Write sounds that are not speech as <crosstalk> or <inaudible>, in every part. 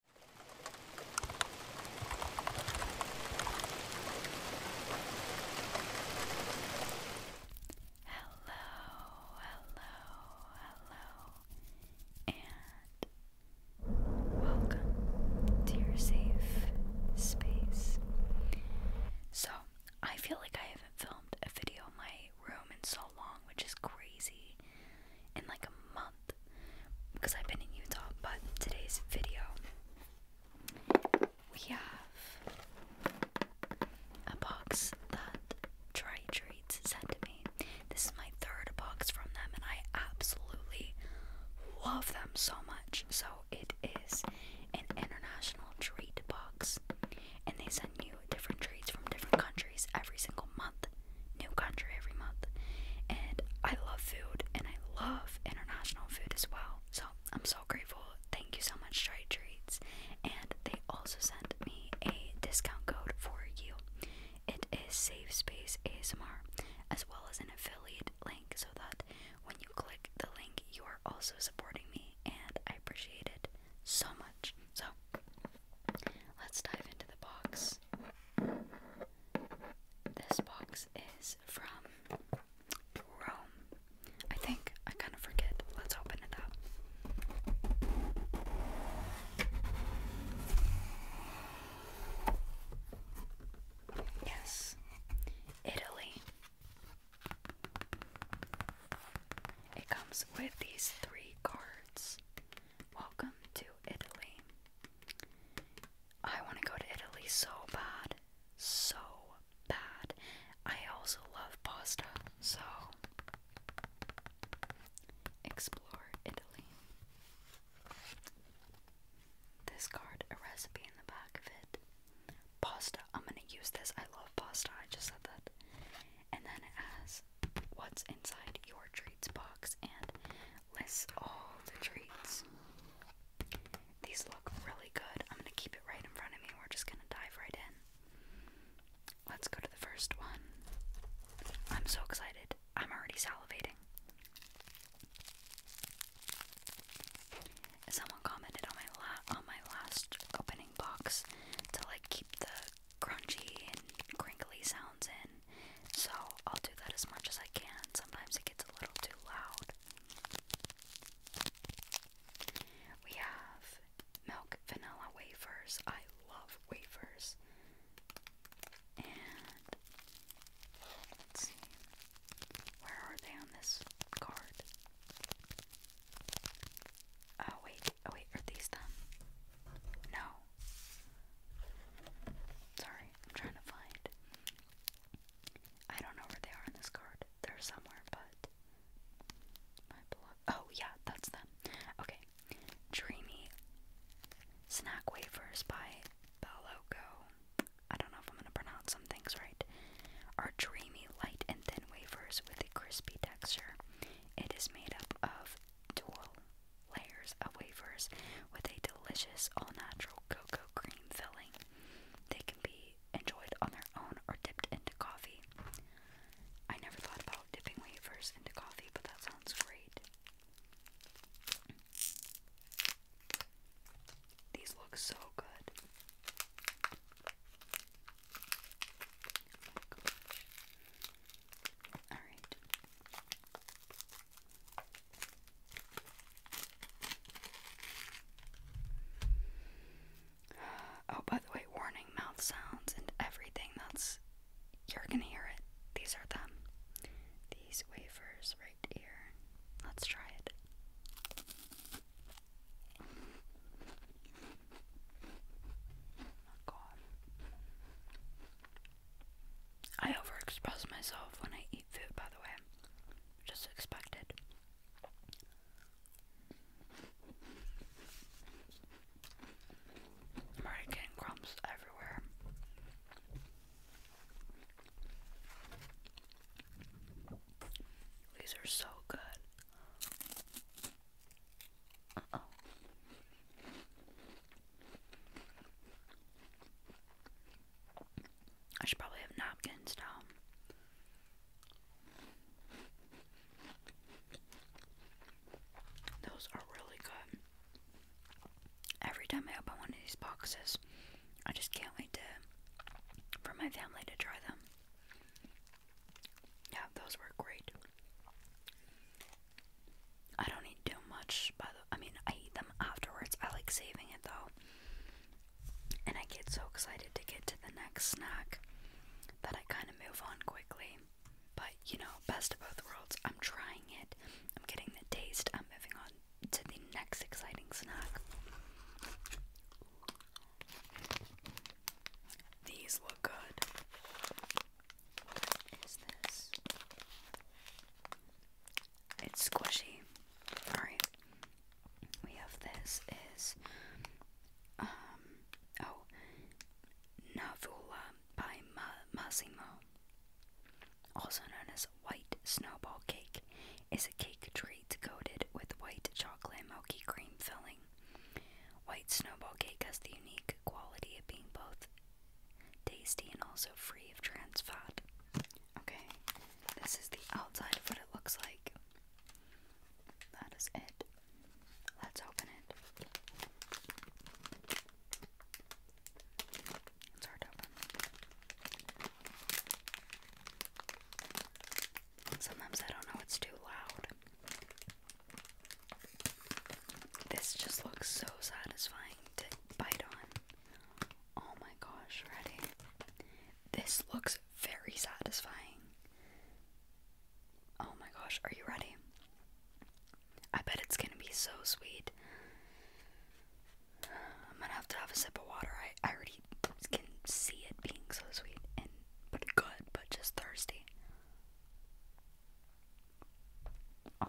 Hello, hello, hello, and welcome to your safe space. So, I feel like I haven't filmed a video in my room in so long, which is crazy in like a month because I've been in Utah. But today's video, we have a box that Try Treats sent to me. This is my third box from them, and I absolutely love them so much. So it is an international treat box, and they send you different treats from different countries every single month new country every month. And I love food and I love international food as well. So I'm so grateful. Thank you so much, Try Treats. And they also sent me a discount code for you. It is Safe Space ASMR, as well as an affiliate link, so that when you click the link, you are also supporting me, and I appreciate it so much. So let's dive into the box. This box is from Rome. I think I kind of forget. Let's open it up. Yes, Italy. It comes with these three cards. Welcome to Italy. I want to go to Italy so bad. So bad. I also love pasta, so explore Italy. This card, a recipe in the back of it. Pasta. I'm gonna use this. I love pasta. I just said that. And then it has what's inside your treats box and lists all the treats. These look really good. I'm gonna keep it right in front of me. We're just gonna dive right in. Let's go to the first one. I'm so excited. I'm already salivating. Someone commented on my on my last opening box to like keep the crunchy and crinkly sounds in, so I'll do that as much as I can. Sometimes it gets a little too loud. We have milk vanilla wafers. I love wafers. And let's see. Where are they on this card? Oh wait, oh, wait, are these them? No, Sorry, I'm trying to find. I don't know where they are in this card. They're somewhere, but Oh yeah, that's them. Okay, Dreamy Snack Wafers by Baloco. I don't know if I'm gonna pronounce some things right. Are dreamy, light, and thin wafers with a crispy texture. It is made up of dual layers of wafers with a delicious all-natural cocoa cream filling. They can be enjoyed on their own or dipped into coffee. I never thought about dipping wafers into coffee, but that sounds great. These look so good. Alright. Oh, by the way, warning mouth sounds and everything that's. You're gonna hear it. These are them. These wafers right here. Let's try it. Oh god. I overexpress myself when I eat food, by the way. Just expected. am already getting crumbs everywhere. These are so good. Uh oh. I should probably have napkins Tom. Those are really good. Every time I open one of these boxes, I just can't wait to for my family to try them. Yeah, those were great. I don't eat too much, but I mean, I eat them afterwards. I like saving it though. And I get so excited to get to the next snack that I kind of move on quickly. But you know, best of both worlds. I'm trying it, I'm getting the taste, I'm moving on to the next exciting snack. These look good. What is this? it's squishy. Alright. We have this is um oh Navula by Massimo, also known as white snowball cake, is a cake treat coated with white chocolate milky cream filling. White snowball cake has the unique quality of being both tasty and also free of trans fat. Okay, this is the outside of what it looks like. That is it. Let's open it. It's hard to open. Sometimes I don't know it's too loud. This just looks so satisfying to bite on. Oh my gosh, ready? This looks very satisfying. Oh my gosh, are you ready? I bet it's gonna be so sweet. I'm gonna have to have a sip of water. I, I already can see it being so sweet and but good, but just thirsty. Oh,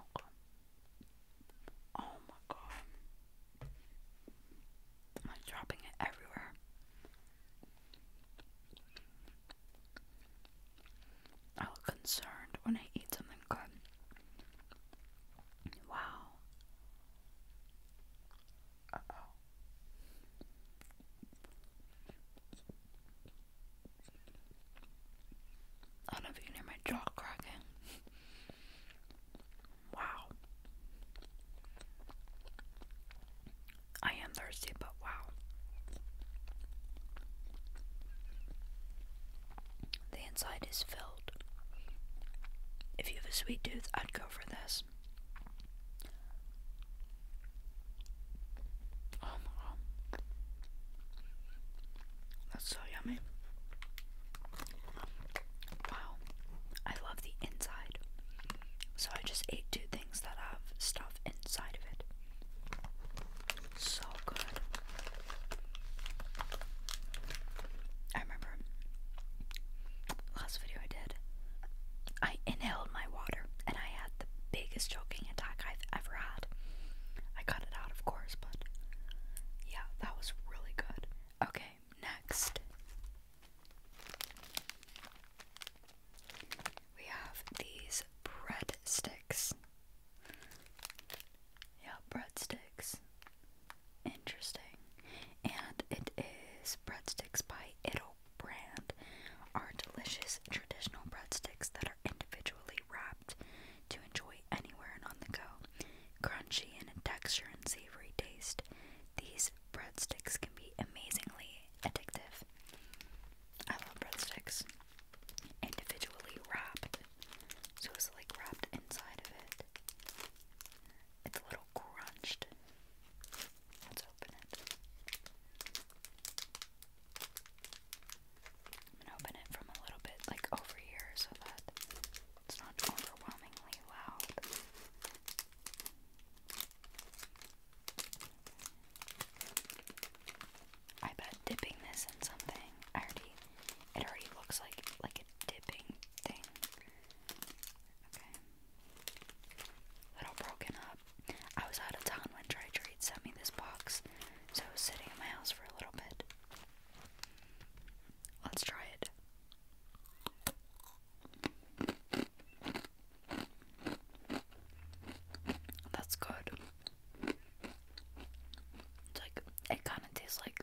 Oh my god. I'm like dropping it everywhere. I look concerned when I eat something good. Wow. oh. I do you hear my jaw cracking. <laughs> Wow. I am thirsty, but wow. The inside is filled. If you have a sweet tooth, I'd go for this. Um, um. That's so yummy. Wow. I love the inside. So I just ate two things that have stuff inside of it. So good. I remember last video I did, I inhaled my water and I had the biggest choking attack I've ever had. I cut it out, of course, but yeah, that was really good. Okay, next. We have these breadsticks. Yeah, breadsticks. Interesting. And it is breadsticks by it Brand. Are delicious traditional breadsticks that are individually wrapped to enjoy anywhere and on the go. Crunchy in texture and savory taste, these breadsticks can be amazingly addictive. I love breadsticks. Individually wrapped. So it's like wrapped inside of it. It's a little crunched. Let's open it. I'm gonna open it from a little bit like over here so that it's not overwhelmingly loud. I bet dipping this in something it already looks like like a dipping thing. Okay. Little broken up. I was out of town when Dry Treat sent me this box, so I was sitting in my house for a little bit. Let's try it. That's good. like it kind of tastes like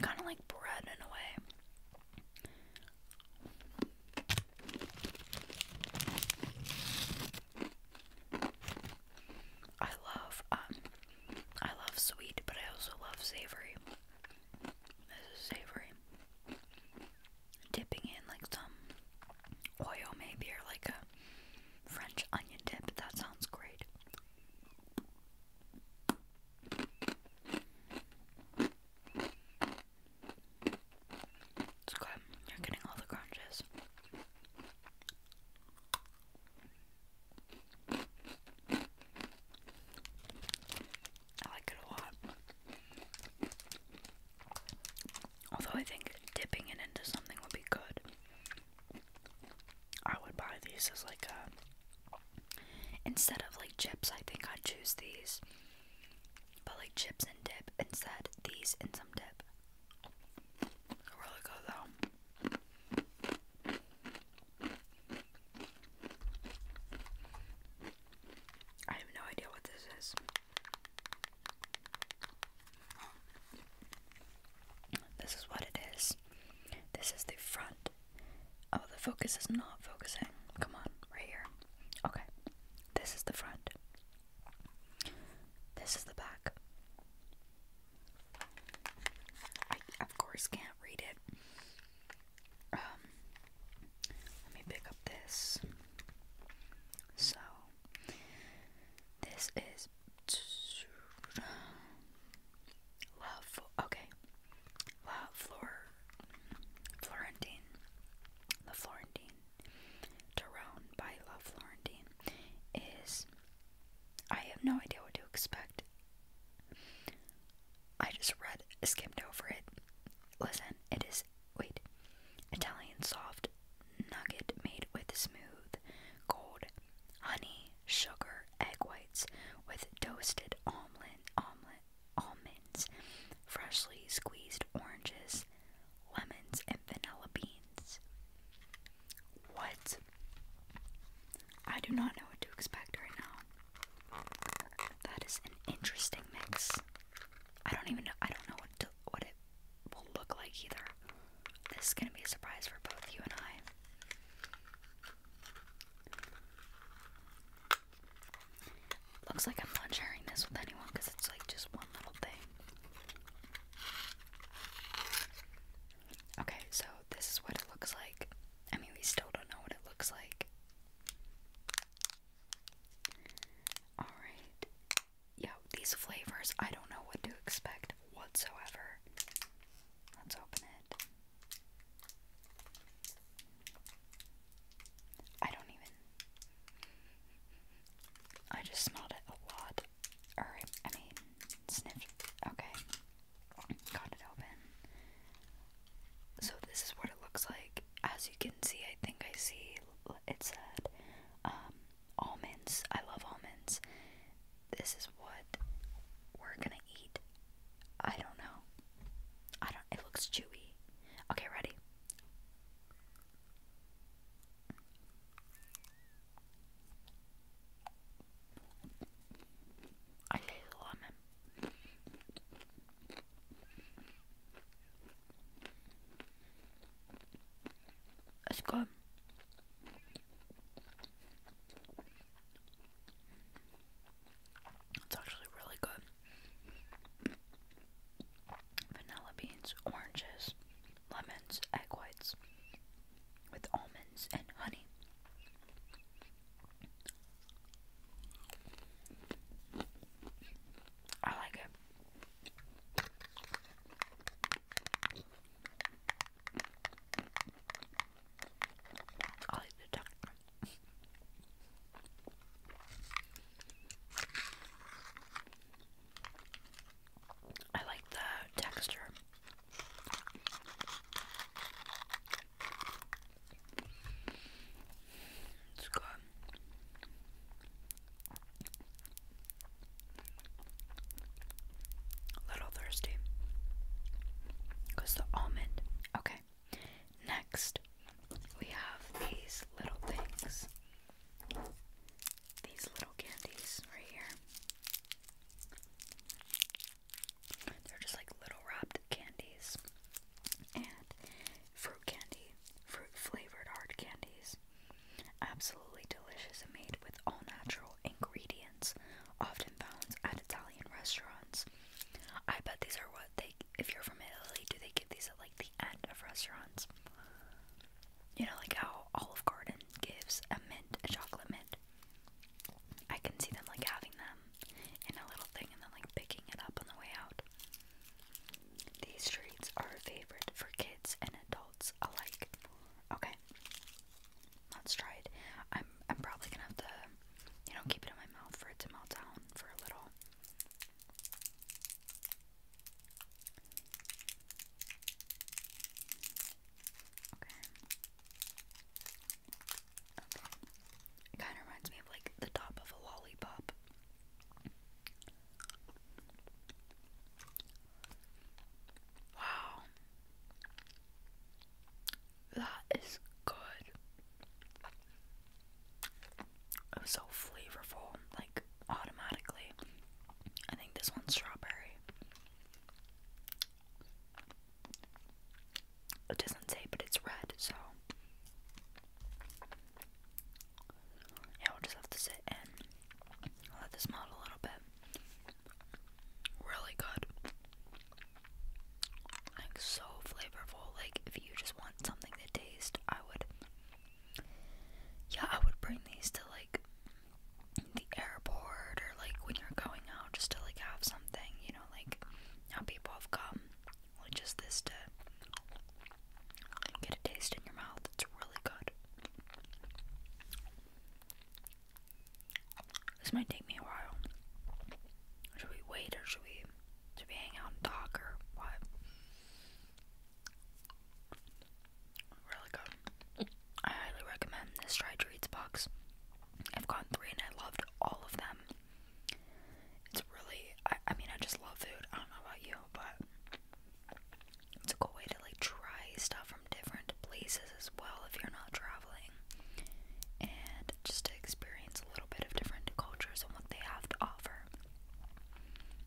kind of like bread in a way. I love um I love sweet, but I also love savory. This is savory. Dipping in like some oil maybe or like a French onion dip. That sounds great. It's good. You're getting all the crunches. I like it a lot. Although I think dipping it into something would be good. I would buy these as like a instead of like chips, I think I'd choose these. But like chips and dip instead, these and some dip. Really good though. I have no idea what this is. This is what it is. This is the front. Oh, the focus is not focusing. Come on, right here. Okay. This is the front. This is the back. I, of course, can't read it. Um, let me pick up this. So, this is love. Okay, La Flor, Florentine, La Florentine, Tyrone by La Florentine is I have no idea what to expect. I just read, skipped over it. Listen, it is, wait, Italian soft nugget made with smooth gold honey, sugar, egg whites with toasted omelet, omelet, almonds, freshly squeezed oranges, lemons, and vanilla beans. What? I do not know what to expect right now. That is an interesting mix. I don't even know. I don't know what what it will look like either. This is gonna be a surprise for both you and I. Looks like I'm not sharing this with anyone because it's like just one little thing. Okay, so this is what it looks like. I mean, we still don't know what it looks like. Alright. Yeah, these flavors, I don't know what to expect whatsoever. Let's open it. I don't even. I just smelled it a lot. Or, I mean, sniffed. Okay. Got it open. So, this is what it looks like. As you can see, I think I see it said um, almonds. I love almonds. This is what we're gonna eat. I don't know. I don't. It looks chewy. Okay, ready? I like lemon. It's good. It's actually really good. Vanilla beans, oranges, lemons, egg whites, with almonds and honey. I like it. I like the texture. I like the texture. It's good. A little thirsty. Because the almond. Okay. Next, we have these little things. These little candies right here. They're just like little wrapped candies and fruit candy, fruit flavored hard candies. Absolutely delicious and made with all natural ingredients, often found at Italian restaurants. I bet these are what they, if you're from Italy, do they give these at like the end of restaurants? You know, like how Olive Garden gives a mint, a chocolate mint. I can see them like having them in a little thing and then like picking it up on the way out. These treats are a favorite for kids and adults alike. Okay. Let's try it. I'm I'm probably gonna have to, you know, keep it in my mouth for it to melt down for a little. Okay. Okay. kind of reminds me of like the top of a lollipop. Wow. That is good. It's so flavorful, like automatically. I think this one's strawberry. It doesn't say, but it's red, so. Yeah, we'll just have to sit and let this melt a little bit. Really good. Like, so flavorful. Like, if you just want something to taste, I would. Yeah, I would bring these to, like, the airport or like when you're going out just to like have something, you know, like how people have come just this to get a taste in your mouth. It's really good. This might take me a while. Should we wait or should we should we hang out and talk or what? Really good. I highly recommend this Try Treats box. I've gotten three and I loved all of them. It's really, I, I mean, I just love food. I don't know about you, but it's a cool way to like try stuff from different places as well if you're not traveling. And just to experience a little bit of different cultures and what they have to offer.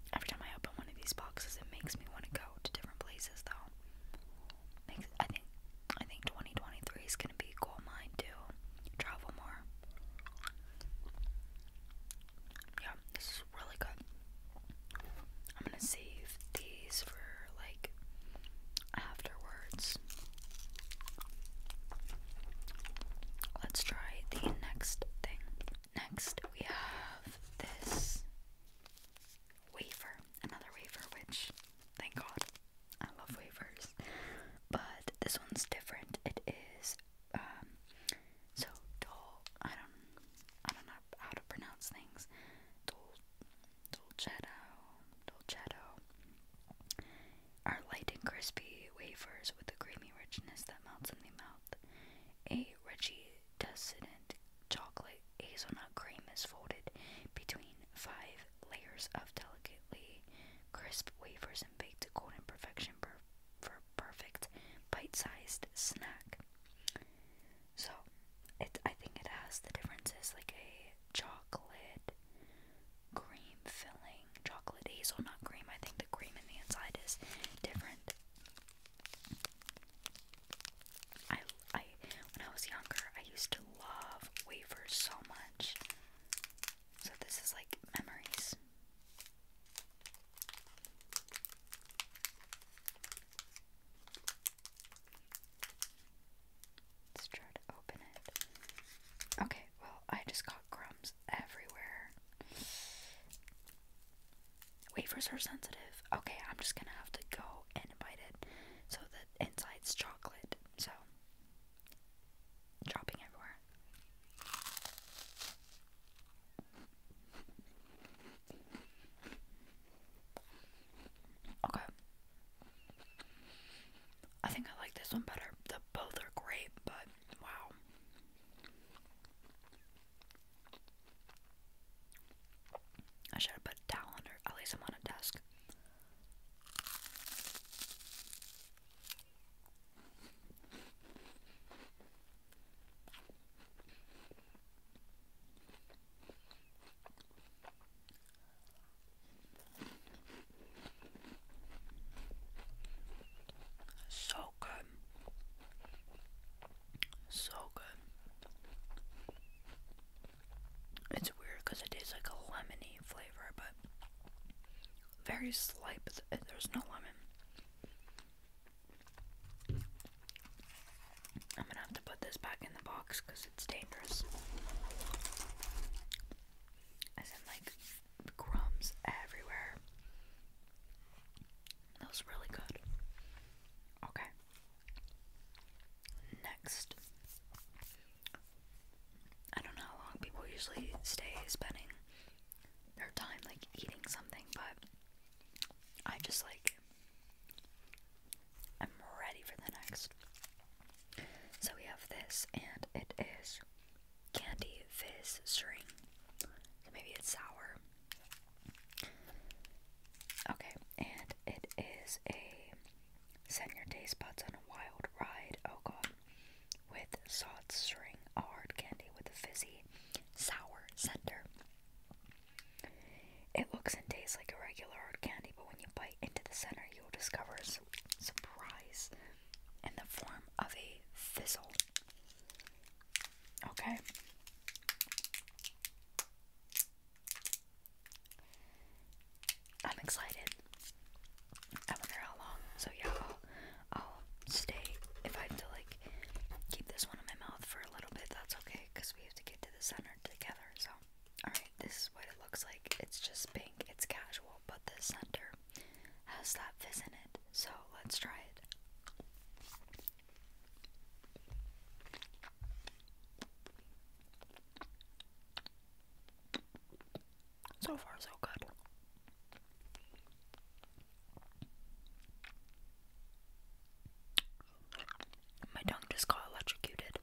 Every time I open one of these boxes, it makes me want to go to different places though. I think I think 2023 is gonna be a goal mine too. travel more. Yeah, this is really good. I'm gonna save these for like afterwards. Let's try the next thing. Next, we have this wafer, another wafer, which thank God I love wafers, but this one's different. It is um, so dol. I don't, I don't know how to pronounce things. Dol, dolcetto, dolcetto are light and crispy wafers with a creamy richness that melts in the mouth. A reggie decedent chocolate hazelnut cream is folded between five layers of delicately crisp wafers and baked to golden perfection for perfect bite-sized snack. So, it I think it has the differences like a chocolate cream filling, chocolate hazelnut cream. I think the cream in the inside is different. I, I, when I was younger, I used to love wafers so much. So this is like memories. Let's try to open it. Okay, well, I just got crumbs everywhere. Wafers are sensitive. Okay, I'm just gonna have to go and bite it. So, that inside's chocolate, so dropping everywhere. Okay. I think I like this one better. The both are great, but wow. I should have put a towel At least I'm on a desk. So good. So good. It's weird because it tastes like a lemony flavor, but very slight, but there's no lemon. I'm gonna have to put this back in the box because it's dangerous. As in, like, crumbs everywhere. That was really good. Okay. Next, I don't know how long people usually stay spending their time like eating something, but I just like I'm ready for the next. So we have this, and it is candy fizz string. maybe it's sour. Okay, and it is a Send your taste buds on a wild ride, oh god, with salt string, a hard candy with a fizzy, sour center. It looks and tastes like a regular hard candy, but when you bite into the center, you will discover a surprise in the form of a fizzle. Okay. I'm excited. I wonder how long. So yeah, I'll, stay. If I have to like keep this one in my mouth for a little bit, that's okay, cause we have to get to the center together. So, all right, this is what it looks like. It's just pink. It's casual, but the center has that fizz in it. So let's try it. So far, so good. My tongue just got electrocuted.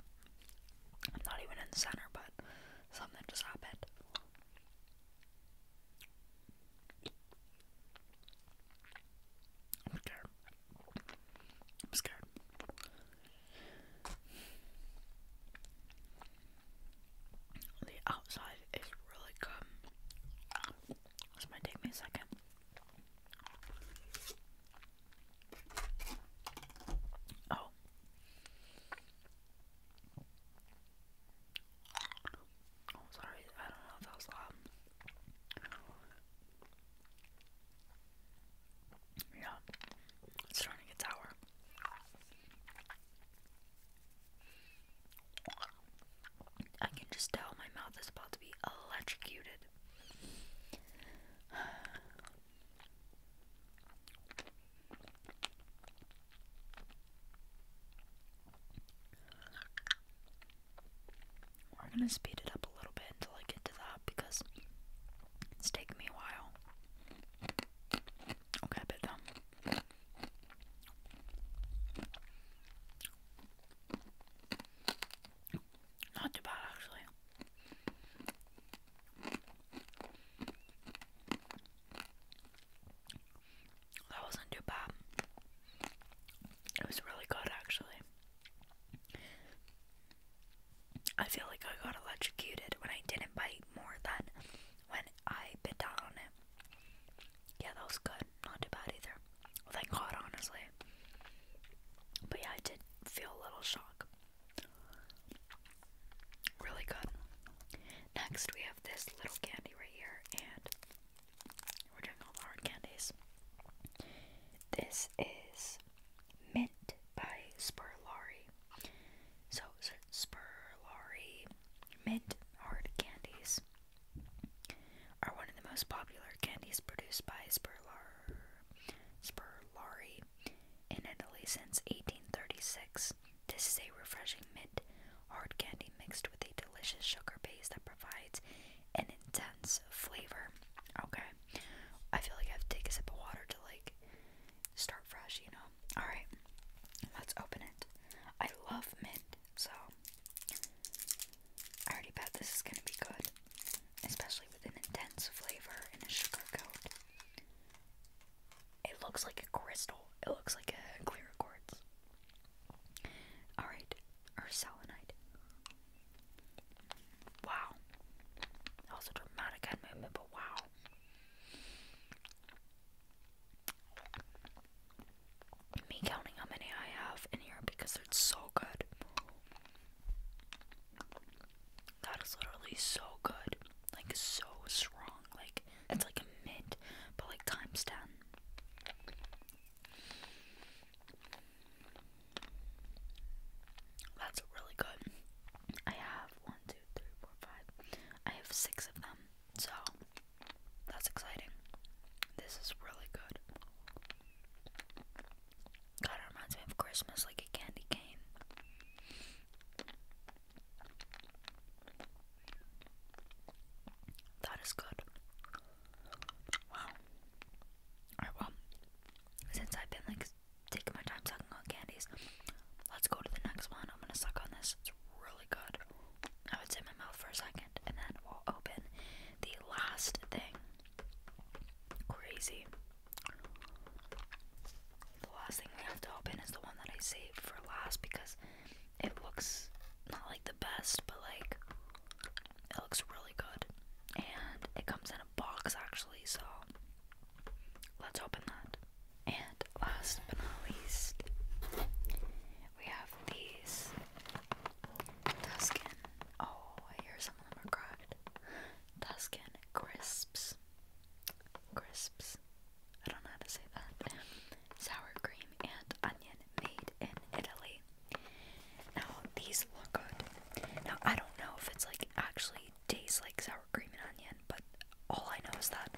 I'm not even in the center, but something just happened. i I'm scared. The outside is really good. This might take me a second. Oh. Oh, sorry. I don't know if that was loud. Yeah, starting to get I can just tell my mouth is about to be electrocuted. We're gonna speed it up a little bit until I get to that because it's taking me a while. Okay, a bit though. Not too bad actually. That wasn't too bad. It was really good actually. I feel like I got electrocuted when I didn't bite more than when I bit down on it. Yeah, that was good. Not too bad either. Well, thank God, honestly. But yeah, I did feel a little shock. Really good. Next, we have this little candy right here, and we're doing all the hard candies. This is Mint by Spurlari. So, so Spurlari mint hard candies are one of the most popular candies produced by Spurlar, Spurlari in Italy since 1836. This is a refreshing mint hard candy mixed with a delicious sugar base that provides an intense flavor. Okay. I feel like I have to take a sip of water to like start fresh, you know. Alright, let's open it. I love mint, so I already bet this is gonna be good. Especially with an intense flavor and a sugar coat. It looks like a crystal. It looks like a clear quartz. Alright, or selenite. Wow. That was a dramatic movement, but wow. Me counting how many I have in here because it's so good. That is literally so good. Like, so strong. Like, it's like a mint, but like times 10. That's really good. I have one, two, three, four, five. I have six of them. So that's exciting. This is really good. God, it reminds me of Christmas like a candy cane. That is good. Wow. Alright, well, since I've been like taking my time sucking on candies. Let's go to the next one. I'm gonna suck on this. It's really good. I would sit my mouth for a second and then we'll open the last thing. Crazy. The last thing we have to open is the one that I saved for last because it looks not like the best, but like it looks really good. And it comes in box actually, so let's open that. And last but not least, we have these Tuscan. Oh, I hear some of them are cracked. Tuscan crisps. Crisps. I don't know how to say that. Sour cream and onion made in Italy. Now, these look good. Now, I don't know if it's like actually tastes like sour cream and onion, but all I know is that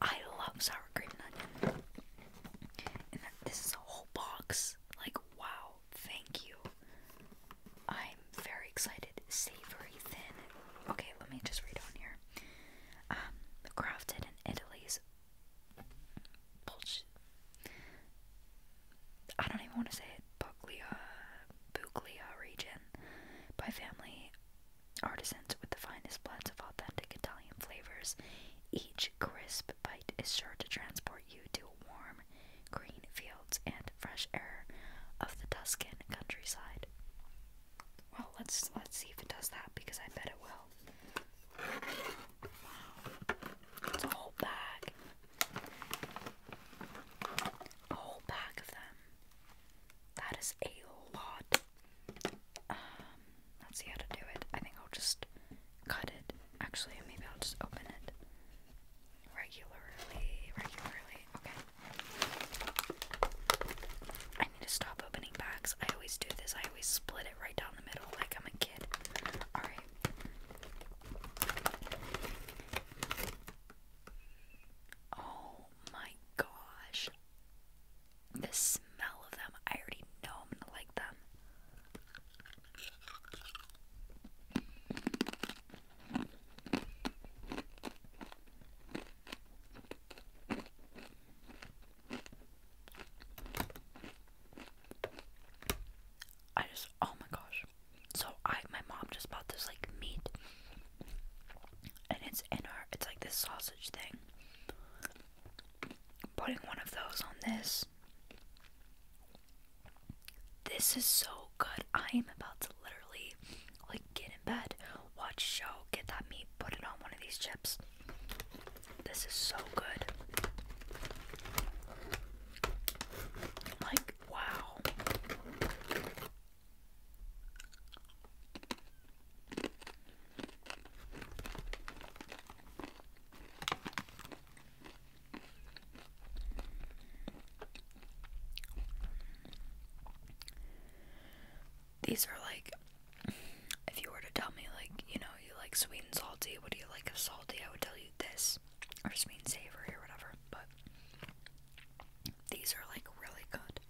I love sour cream and onion. And this is a whole box. Like, wow, thank you. I'm very excited. Savory thin. Okay, let me just read on here. Um, crafted in Italy's. I don't even want to say it. Puglia region by family artisans with the finest blends of authentic Italian flavors. Each crisp bite is sure to transport you to warm, green fields and fresh air of the Tuscan countryside. Well, let's let's see if it does that because I bet it will. Wow, it's a whole bag, whole bag of them. That is a lot. Um, let's see how to do it. I think I'll just cut it. Actually, maybe I'll just open it regularly. Regularly. Okay. I need to stop opening bags. I always do this. I always split it right down the middle like I'm a kid. Alright. Oh my gosh. The smell of them. I already know I'm gonna like them. I just, oh my gosh. So I, my mom just bought this like meat, and it's in our, it's like this sausage thing. Putting one of those on this. This is so good. I am about to literally like get in bed, watch show, get that meat, put it on one of these chips. This is so good. Like wow. These are like, if you were to tell me, like, you know, you like sweet and salty, what do you like of salty? I would tell you this, or sweet and savory, or whatever, but these are like really good.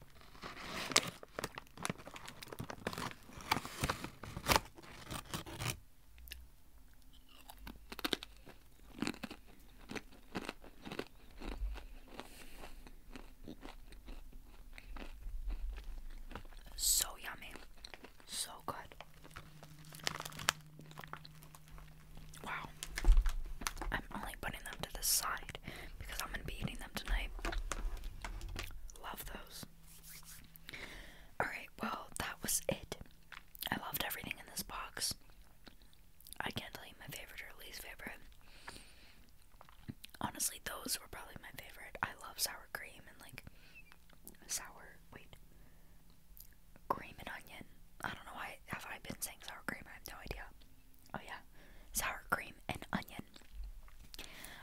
So yummy. So good. Wow. I'm only putting them to the side because I'm going to be eating them tonight. Love those. Alright, well, that was it. I loved everything in this box. I can't tell you my favorite or least favorite. Honestly, those were probably my favorite. I love sour cream and like sour, wait, cream and onion. I don't know why have I been saying sour cream. I have no idea. Oh yeah, sour cream and onion.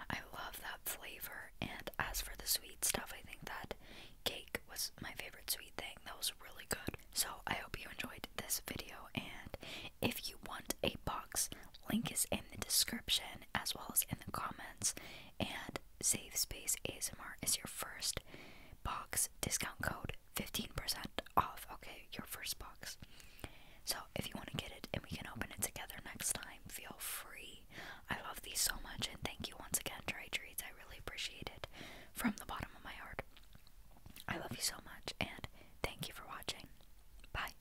I love that flavor. And as for the sweet stuff, I think that cake was my favorite sweet thing. That was really good. So I hope you enjoyed this video. And if you want a box, link is in the description as well as in the comments. And Save Space ASMR is your first box discount code. 15% off, okay, your first box. So if you want to get it and we can open it together next time, feel free. I love these so much and thank you once again, Dry Treats. I really appreciate it from the bottom of my heart. I love you so much and thank you for watching. Bye.